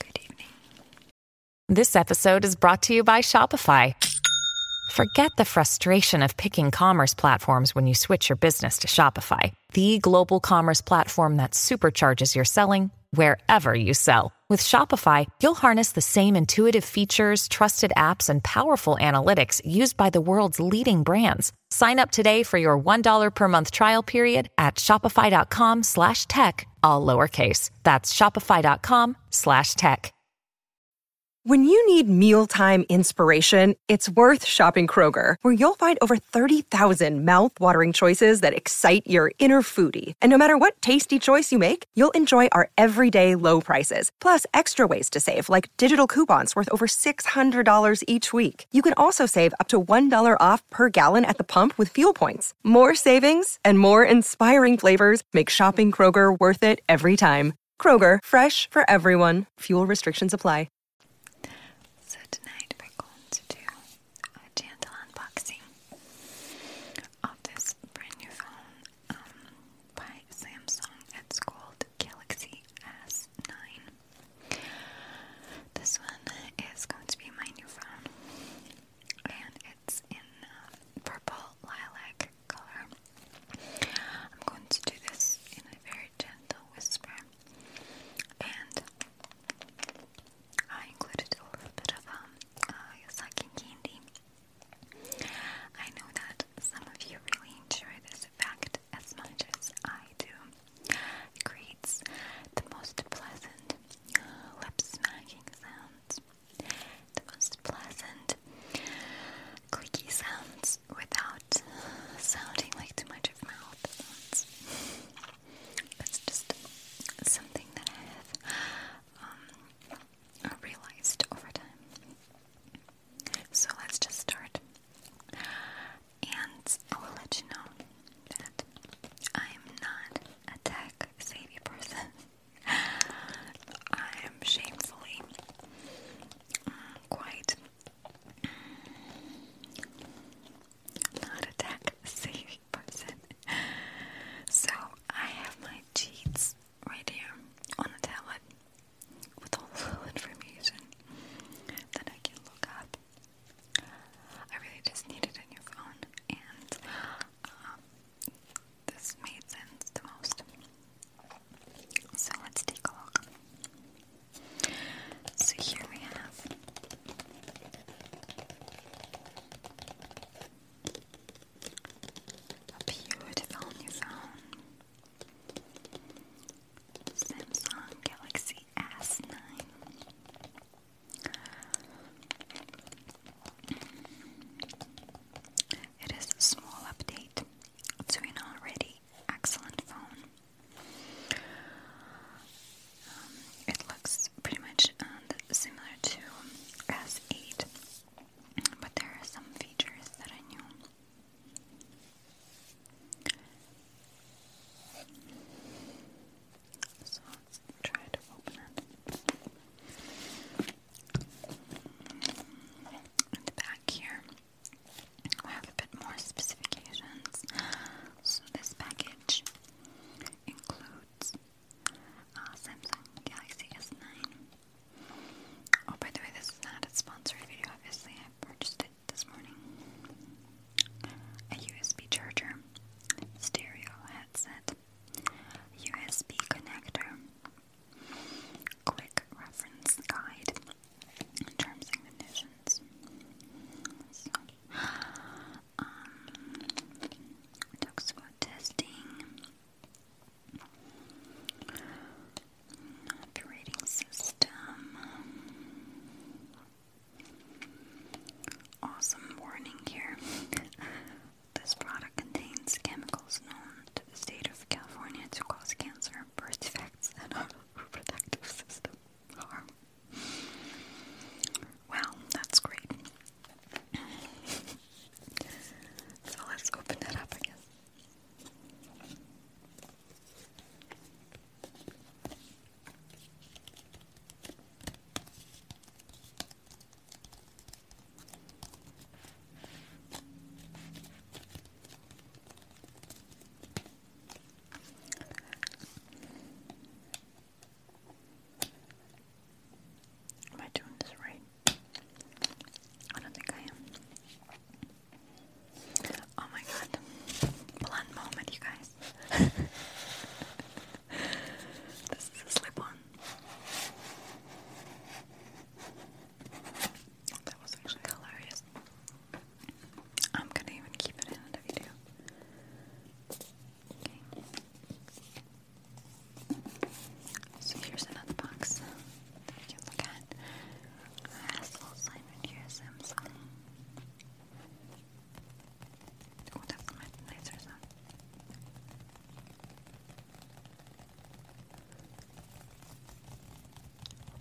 Good evening. This episode is brought to you by Shopify. Forget the frustration of picking commerce platforms when you switch your business to Shopify, the global commerce platform that supercharges your selling wherever you sell with Shopify, you'll harness the same intuitive features, trusted apps, and powerful analytics used by the world's leading brands. Sign up today for your $1 per month trial period at shopify.com slash tech, all lowercase. That's shopify.com slash tech. When you need mealtime inspiration, it's worth shopping Kroger, where you'll find over 30,000 mouthwatering choices that excite your inner foodie. And no matter what tasty choice you make, you'll enjoy our everyday low prices, plus extra ways to save, like digital coupons worth over $600 each week. You can also save up to $1 off per gallon at the pump with fuel points. More savings and more inspiring flavors make shopping Kroger worth it every time. Kroger, fresh for everyone. Fuel restrictions apply. So, tonight we're going to do a gentle unboxing of this brand new phone um, by Samsung. It's called Galaxy S9. This one is going to be my new phone, and it's in uh, purple lilac color. I'm going to do this in a very gentle whisper, and I included a little bit of um, uh, sucking candy I know that some of you really enjoy this effect as much as I do. creates the most pleasant lip smacking sounds, the most pleasant clicky sounds without sounding like too much of mouth sounds. It's just something that I have um, realized over time. So let's just start. And I will let you know that I'm not a tech savvy person. I'm shamefully mm, quite mm, not a tech savvy person. So I have my cheats right here on a tablet with all the information that I can look up. I really just needed a new phone, and um, this made sense the most. So let's take a look. So here we have a beautiful new phone. Samsung Galaxy S9. It is a small update to an already excellent phone. Um, it looks pretty much uh, similar to S8 but there are some features that I knew. So try to open it. At the back here, I have a bit more specifications. So this package includes uh, Samsung Galaxy S9. Oh, by the way, this is not a sponsored video, obviously. I purchased it this morning. A USB charger, stereo headset, USB connector, quick reference guide, terms and conditions. So, um, talks about testing. Operating system. Awesome warning here. this product contains chemicals known to the state of California to cause cancer, birth defects, and reproductive system harm. Wow, that's great. so let's open that up, I Am I doing this right? I don't think I am. Oh my god. Blunt moment, you guys. this is a slip on. That was actually hilarious. I'm gonna even keep it in the video. So here's another box that you look at. has a little sign here, Samsung. Oh, that's a much nicer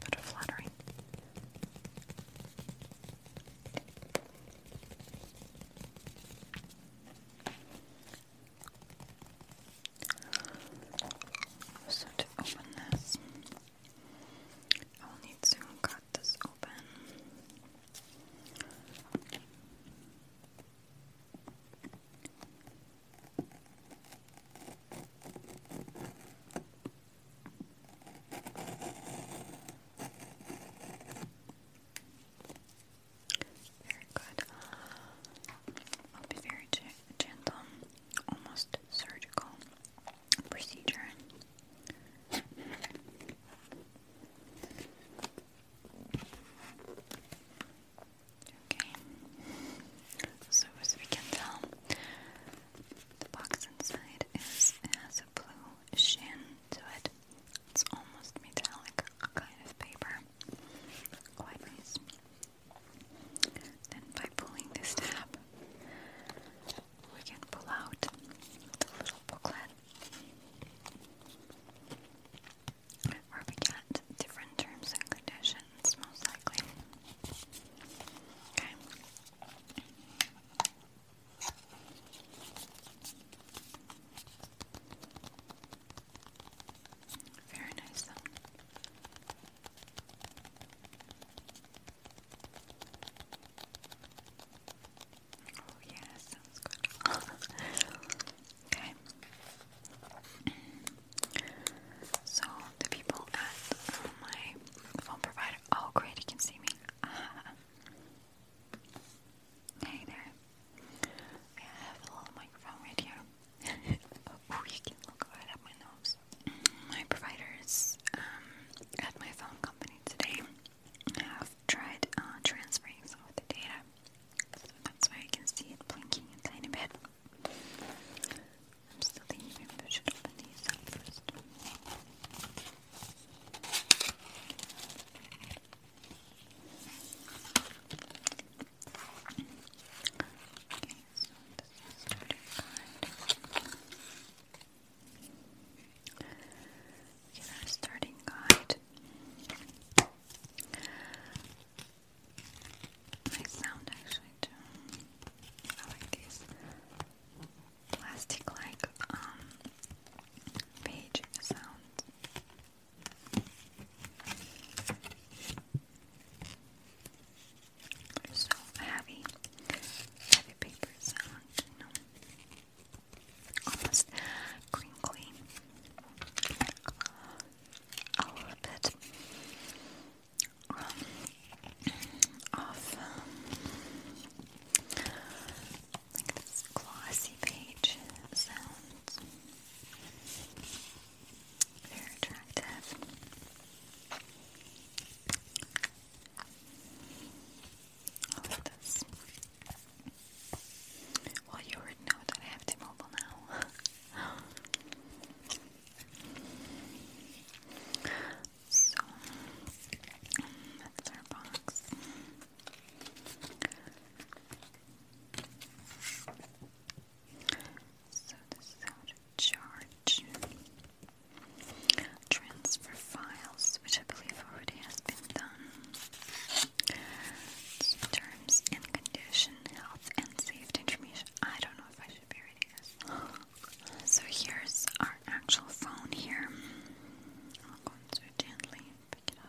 bit of fluttering. So to open this, I will need to cut this open. Very good. I'll be very gentle, almost surgical procedure. Okay. So as we can tell, the box inside is has a blue sheen to it. It's almost metallic kind of paper. Quite nice. Then by pulling this tab, we can pull out the little booklet where we get different terms and conditions, most likely. Very nice Oh yeah, sounds good. okay. So the people at my phone provider. Oh great, you can see me. Hey there. I have a little microphone right here. oh, you can look right at my nose. My providers um, at my phone company today have tried uh, transferring some of the data. that's why I can see it blinking a tiny bit. I'm still thinking maybe should open these up first. Get our starting guide. Nice sound actually too. I like these plastic like um, page sounds. So heavy, heavy paper sound, you know, almost crinkly, a little bit um, of um, like this glossy page sounds very attractive. I love this. Well, you already know that I have T-Mobile now. so, mm, that's our box. So this is how to charge. Transfer files, which I believe already has been done. Terms and condition, health and safety information. I don't know if I should be reading this. So here's our actual phone here. I'll go into gently and pick it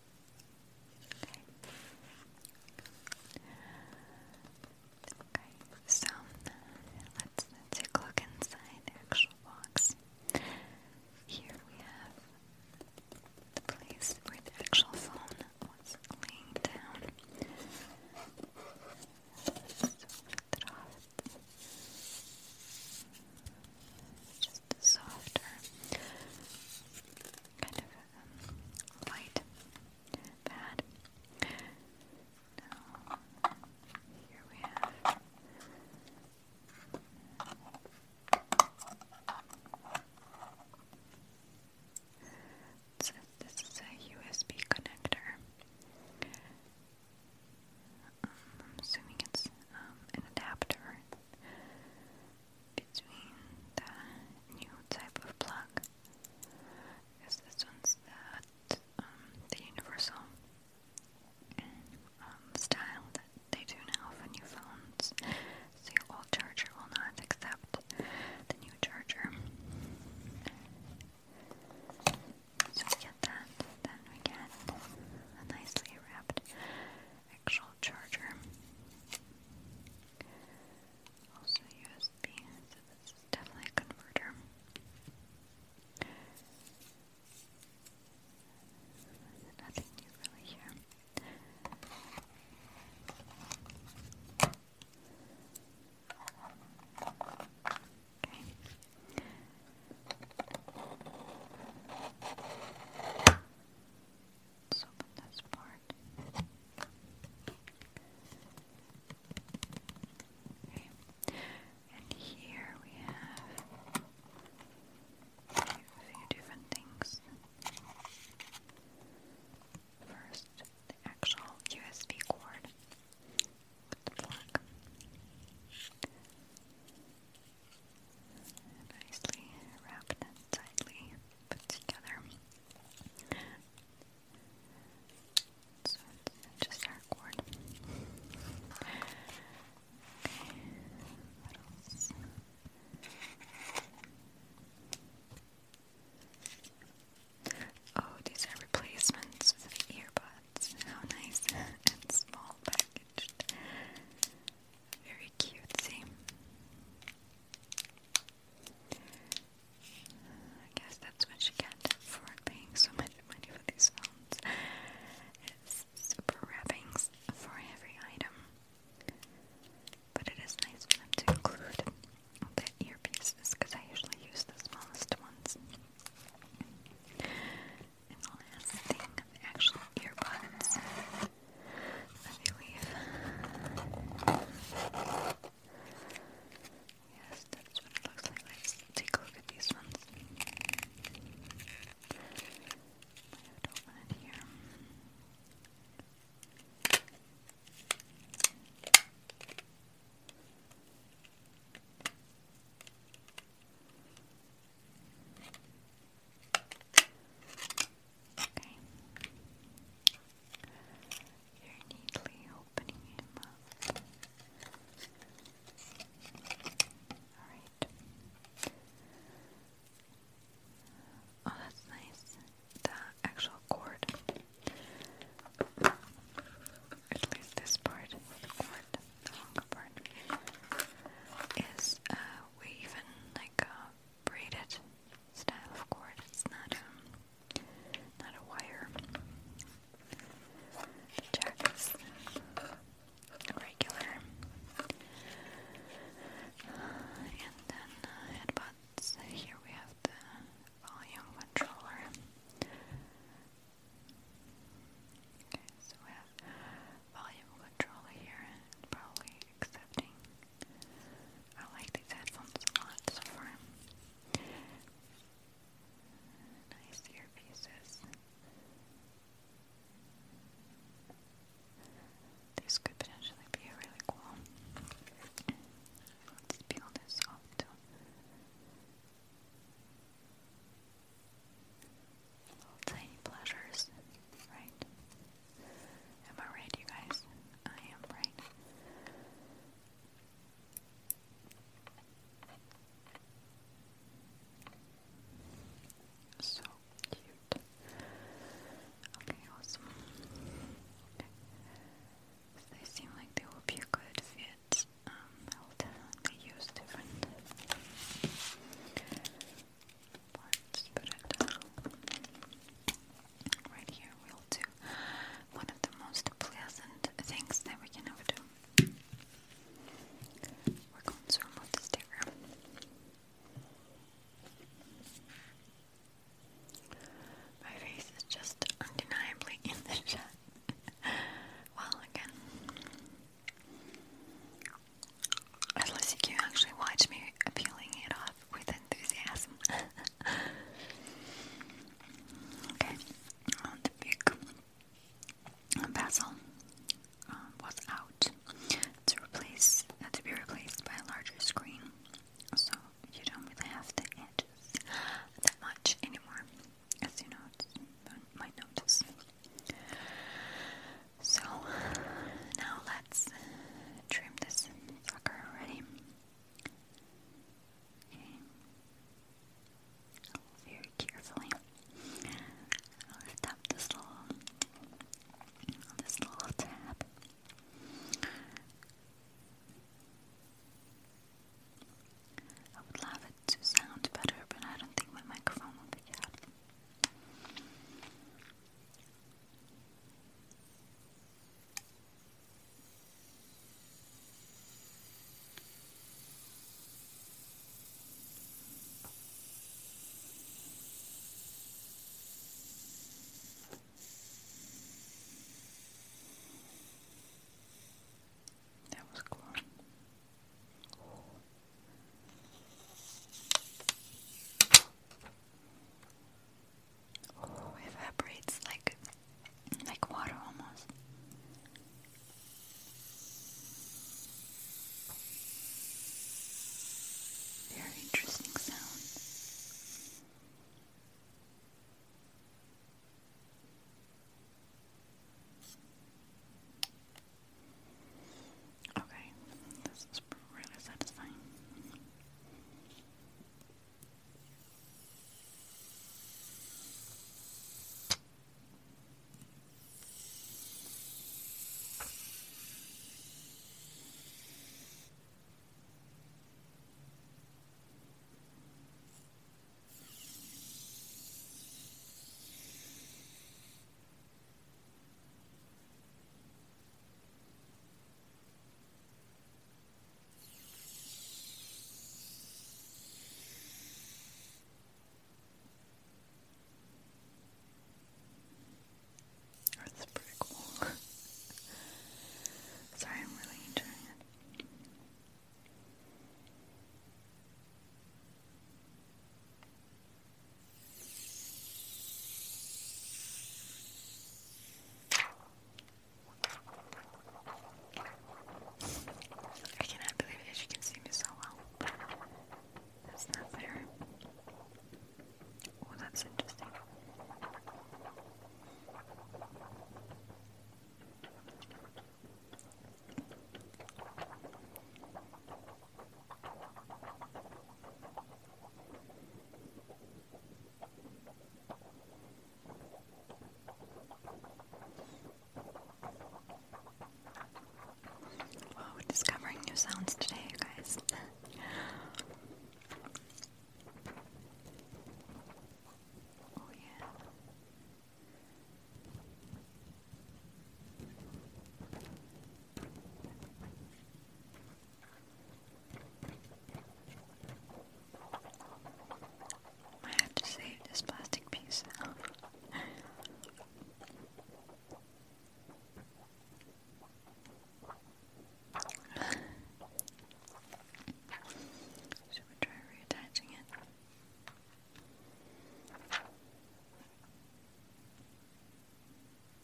Okay, so let's, take a look inside the actual box. Here we have the place where the actual phone was laying down. So lift it off. Just softer, kind of white pad. Now, here we have so this is a USB connector. Um, I'm assuming it's um, an adapter between the new type of plug because this one's um, the universal um, style that they do now for new phones so old charger will not accept the new charger so we get that, then we get a nicely wrapped actual charger. Also USB, so this is definitely a converter. Nothing new really here. Okay let's open this part. Okay. And here we have a few different things. First, the actual USB cord with the plug. Nicely wrapped and tightly put together. So it's just our cord. Oh, these are replacements for the earbuds. How nice and small packaged. Very cutesy. I guess that's what you get for paying so much money for these phones. It's super wrappings for every item. But it is nice for them include earpieces because I usually use the smallest ones. And the last thing, the actual earbuds. I believe. Yes, that's what it looks like. take a look at these ones. I have to open here. Okay. You're neatly opening him up. Alright. Oh, that's nice. The actual cord. At least this part, the cord, the longer part, is woven like a braided style of cord. It's not um not a wire. The jack is regular. and then uh, Here we have the volume controller. Okay, so we have volume control here, probably accepting I like these headphones a lot so far. Nice earpieces. This could potentially be really cool. let this off tiny pleasures, right? Am I right, you guys? I am right. So cute. Okay, awesome. they seem like they will be good fit. Um, I'll definitely use different Right here, we'll do one of the most pleasant things that we can ever do. We're going to remove the sticker. My face is just undeniably in the shot. well, again, Unless you actually watch me peeling it off with enthusiasm. okay, the big basil um, was out to replace uh, to be replaced by a larger screen, so you don't really have the edges that much anymore. As you know, might notice. So now let's trim this sucker already. Okay. Very carefully. lift up this little this little tab. I would love it to sound better, but I don't think my microphone will pick up. That was cool. Oh, evaporates like like water almost. Very interesting sound. Okay, this is really satisfying. That's pretty cool. Sorry, I'm really enjoying it. I cannot believe that she can see me so well. That's not fair. Oh, that's interesting. Wow, we're discovering new sounds today, you guys. oh, yeah. I have to save this plastic piece. Should we try reattaching it?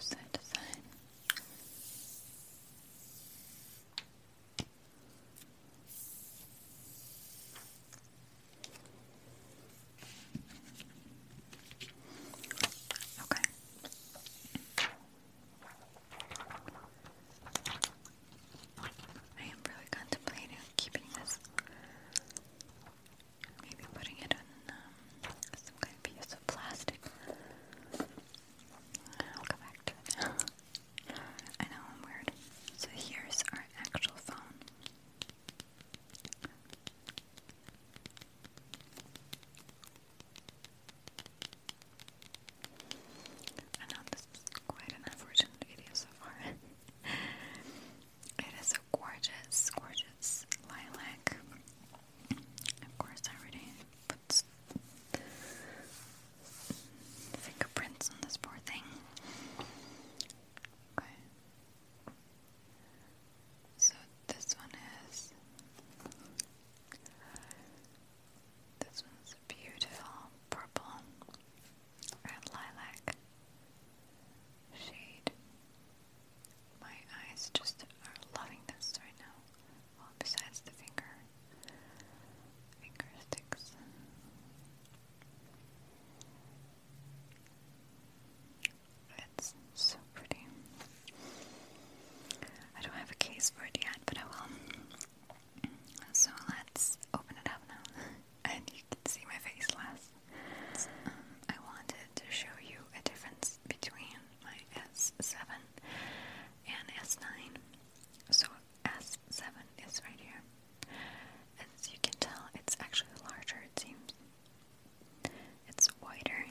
Side to side. Okay. I am really contemplating keeping this. Maybe putting it on um, kind of piece of plastic. I'll come back to it. I know I'm weird. So here's our actual phone. I know this is quite an unfortunate video so far. it is a gorgeous, gorgeous lilac. Of course, I already put fingerprints. Fingerprints on this poor thing. Okay. So this one is. This one's beautiful purple and lilac shade. My eyes just are loving this right now besides the finger, finger It's so pretty. I don't have a case for it yet, but I will. So let's open it up now, and you can see my face less. Um, I wanted to show you a difference between my S7 and S9. So S7 is right here. As you can tell, it's actually larger, it seems. It's wider.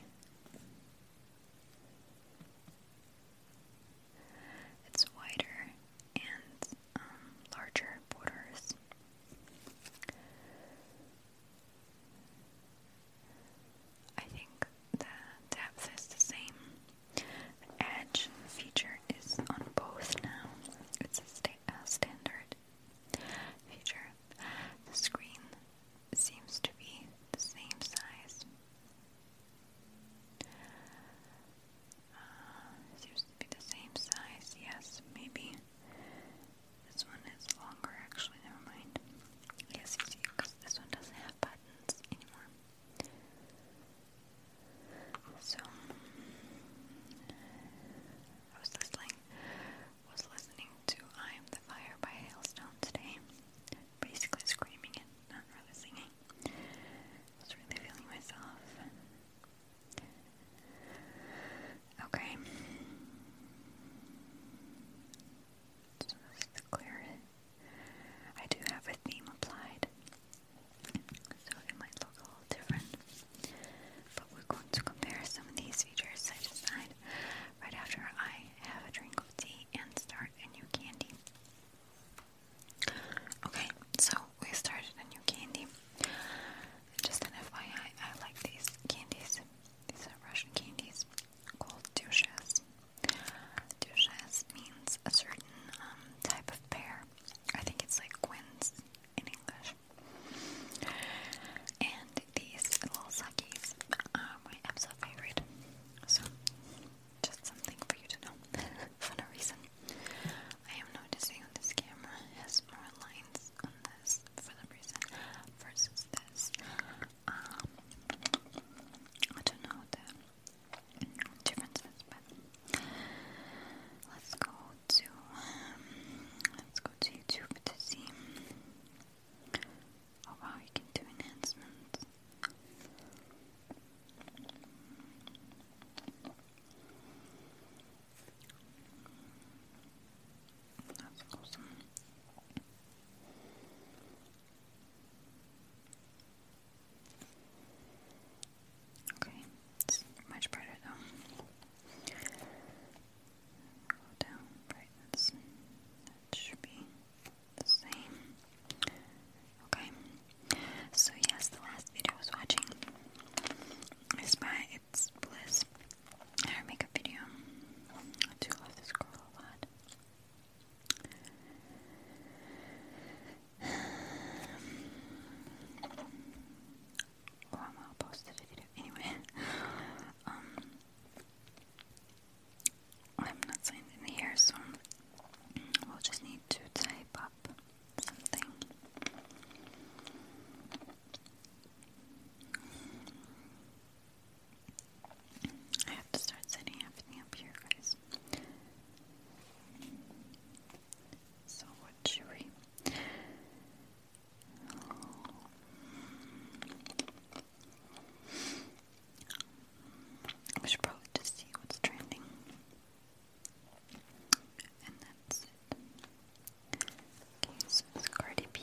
It's wider and um, larger borders. I think the depth is the same. The edge feature is on both now. It's a sta uh, standard feature. The screen seems to be the same size. Uh, seems to be the same size, yes, maybe. This one is longer actually, never mind. Yes, because this one doesn't have buttons anymore. So, I was listening, was listening to "I Am the Fire" by Hailstone today. Basically, screaming and not really singing. was really feeling myself. Okay. So this is I do have a theme applied, so it might look a little different. But we're going to compare some of these features side to side right after I have a drink of tea and start a new candy. Okay, so we started a new candy. Just an FYI, I like these candies. These are Russian candies called douches. Duchesse means a certain um, type of pear. I think it's like quince in English. And these little suckies are my absolute favorite. So, just something for you to know. for no reason, I am noticing on this camera has more lines on this for the reason versus this. Um, I don't know the differences, but let's go to um, let's go to YouTube to see. Oh you can do enhancements. That's awesome. Okay, it's much brighter though. Go down brightness. should be the same. Okay. So yes, the last video I was watching is by It's Bliss. Her makeup video. I do love this girl a lot. Or I'm to post anyway. Um, I'm not signed in here, so we'll just need to type up something. I have to start setting everything up here, guys. So, what should we? We should probably just see what's trending. And that's it. Okay, so it's Cardi B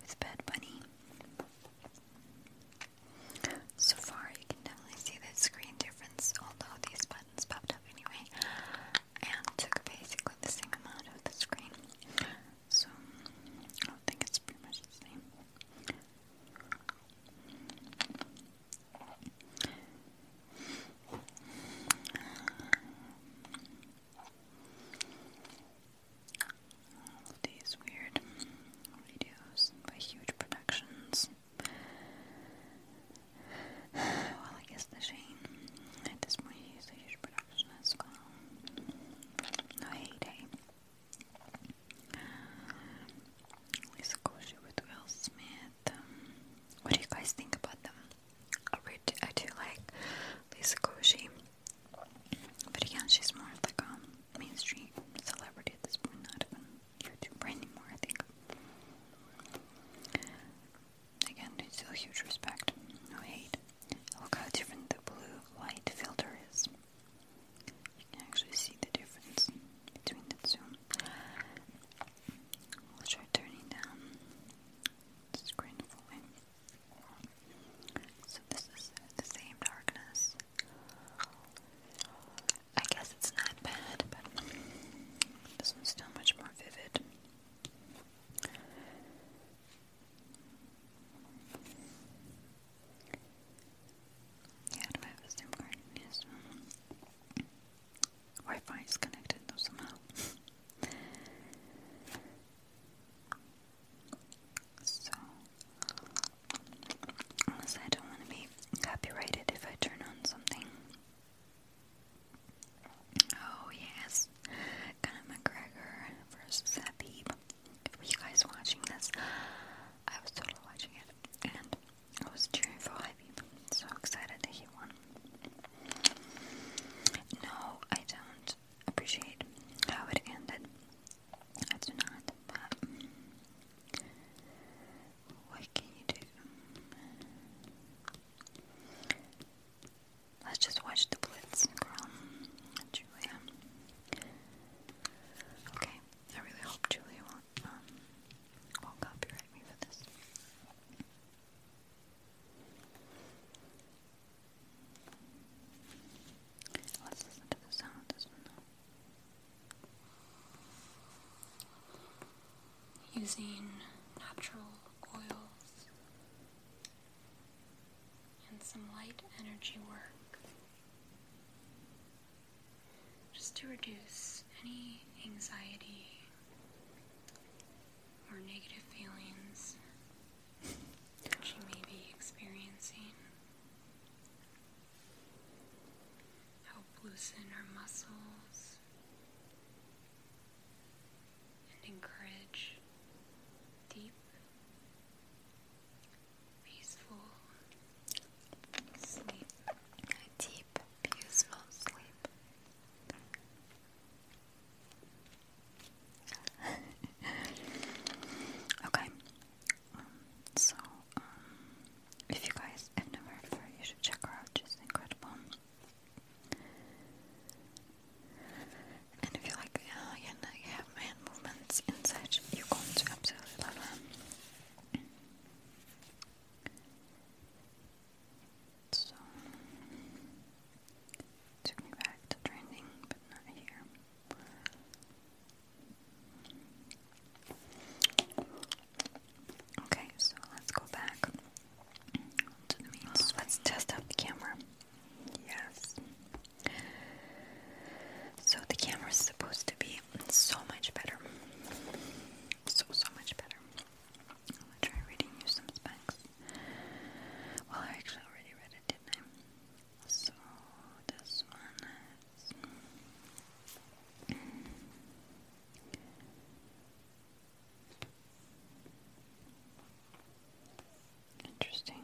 with Bad Bunny. So far, you can definitely see the screen difference, although these buttons popped up anyway, and took basically the same amount of the screen. So, I don't think it's pretty much the same all these weird videos by huge productions. Well, I guess the Shane this point he's a huge production as well. No heyday. Lisa Koshy with Will Smith. what do you guys think about them? I do like Lisa Koshy. But again, she's more like a mainstream celebrity at this point, not even YouTuber anymore, I think. Again, it's still huge respect, no hate. Look how different the blue light filter is. You can actually see the difference between the two. We'll try turning down screen fully this is the same darkness. I guess it's not bad, but this one's still much more vivid. Yeah, I have a SIM card? Yes. Wi-Fi is connected though somehow. So, unless I don't want to be copyrighted if I turn on something. Oh, yes. Conor McGregor versus Habib. Were you guys watching this? I was totally watching it. And I was cheering for Habib. So excited that he won. No, I don't would appreciate how it ended. I do not, but what can you do? Let's just watch the Blitz, girl. Julia. Okay, I really hope Julia won't, um, copyright me for this. Let's listen to the sound of this one Using natural oils and some light energy work just to reduce any anxiety or negative feelings she may be experiencing. Help loosen her muscles and encourage deep, peaceful sleep. A deep, peaceful sleep. okay. Um, so, um, if you guys have never heard you should check her out. She's incredible. And if you like alien, uh, hand movements and such, you're going to absolutely love her. So, took me back to trending, but not here. Okay, so let's go back to the meals. Let's test out the camera. Yes. So the camera is supposed to be so much better. So, so much better. I'm going reading you some Well, I actually already read it, did so this one is interesting.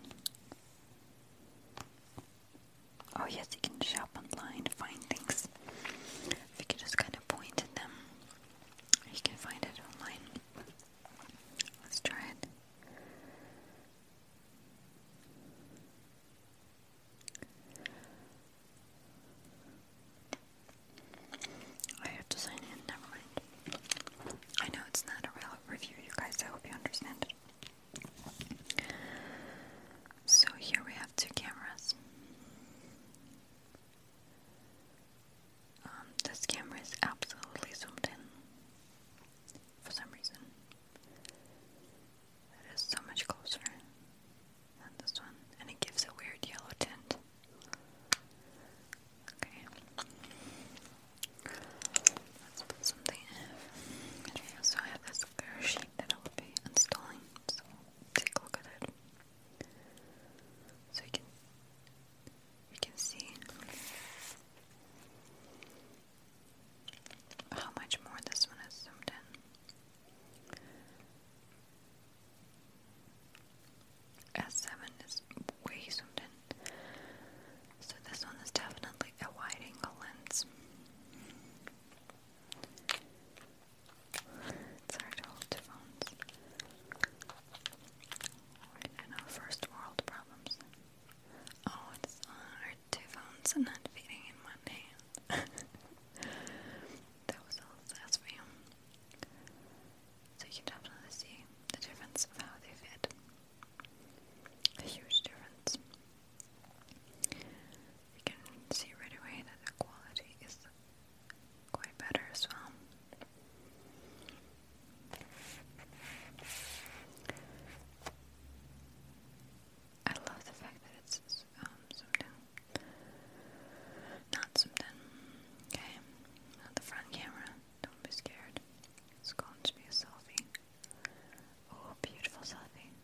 Oh yes, you can shop online, find things. If you just kind of point at them, you can find it online. Let's try it. I have to sign in, never mind. I know it's not a real review, you guys, I hope you understand So here we have two cameras. Um, this camera is absolutely zoomed in for some reason. It is so much closer than this one, and it gives a weird yellow tint. Okay. Let's put something in. Okay, so I have this clear that I will be installing, so take a look at it. So you can we can see how much more this one is zoomed in. S7 is way zoomed in. So this one is definitely a wide angle lens. It's hard to hold two phones. I know, first world problems. Oh, it's hard. Two phones and not fitting in one hand. that was all it says for So you can definitely see the difference of how they fit. A huge difference. You can see right away that the quality is quite better as well. I love the fact that it's um, zoomed in. Not zoomed in. Okay. the front camera. Don't be scared. It's going to be a selfie. Oh, beautiful selfie.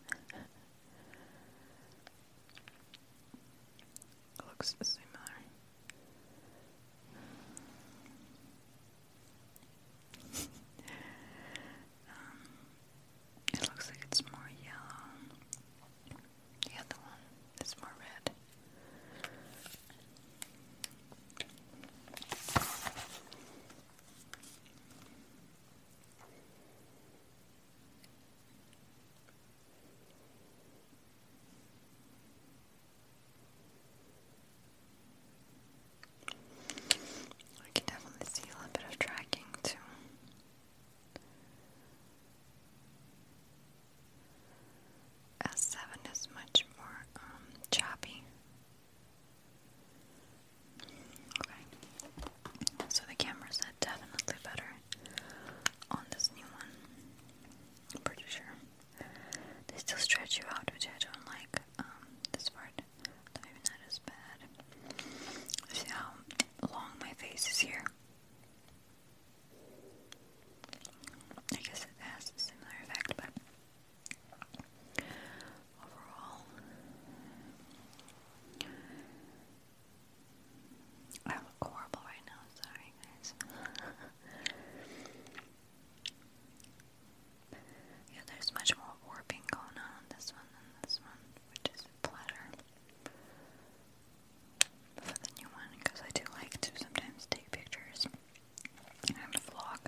Looks similar. Um, it looks like it's more yellow. The other one is more red. I can definitely see a little bit of tracking too. S7 is much more um, choppy. Okay, so the camera's definitely better on this new one. I'm pretty sure. They still stretch you out, which I don't like. Um, this part, but maybe not bad. See how long my face is here. I guess it has a similar effect, but overall, I look horrible right now. Sorry, guys. Yeah, there's much more warping going on this one than this one, which is a for the new one, because I do like to sometimes take pictures and vlog.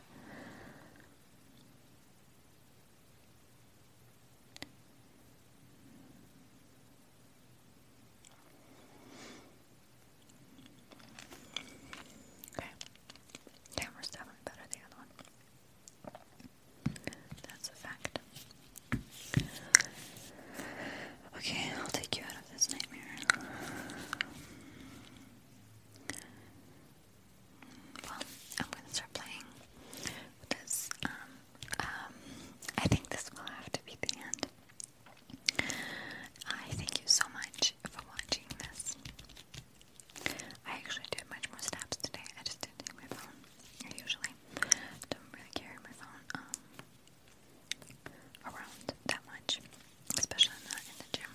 Okay. Camera's definitely better than the other one. That's a fact. Okay, I'll take you out of this nightmare. Well, I'm gonna start playing this. Um, um, I think this will have to be the end. I thank you so much much for watching this. I actually did much more snaps today. I just didn't take my phone. I usually don't really carry my phone um, around that much, especially not in the gym.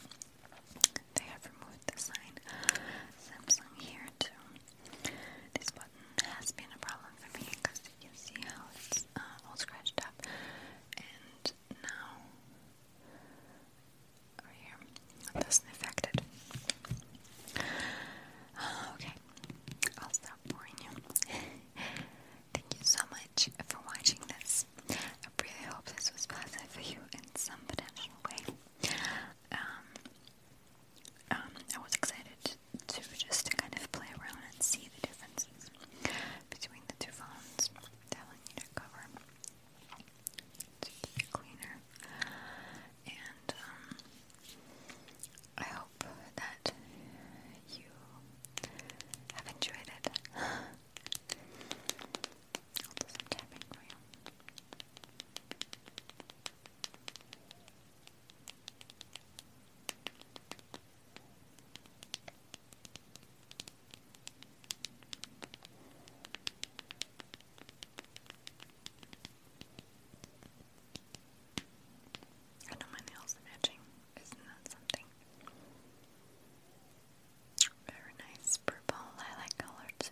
They have removed the sign Samsung here too. This button has been a problem for me because you can see how it's uh, all scratched up, and now over here. doesn't affect it. Ah, okay, I'll stop boring you. Thank you so much for watching this. I really hope this was pleasant for you in some potential way. Um, um, I was excited to just kind of play around and see the differences between the two phones. Telling you to cover to keep it cleaner. And um, I hope that you have enjoyed it. I'll do some tapping for you. I know my nails are matching. Isn't that something? Very nice purple lilac color too.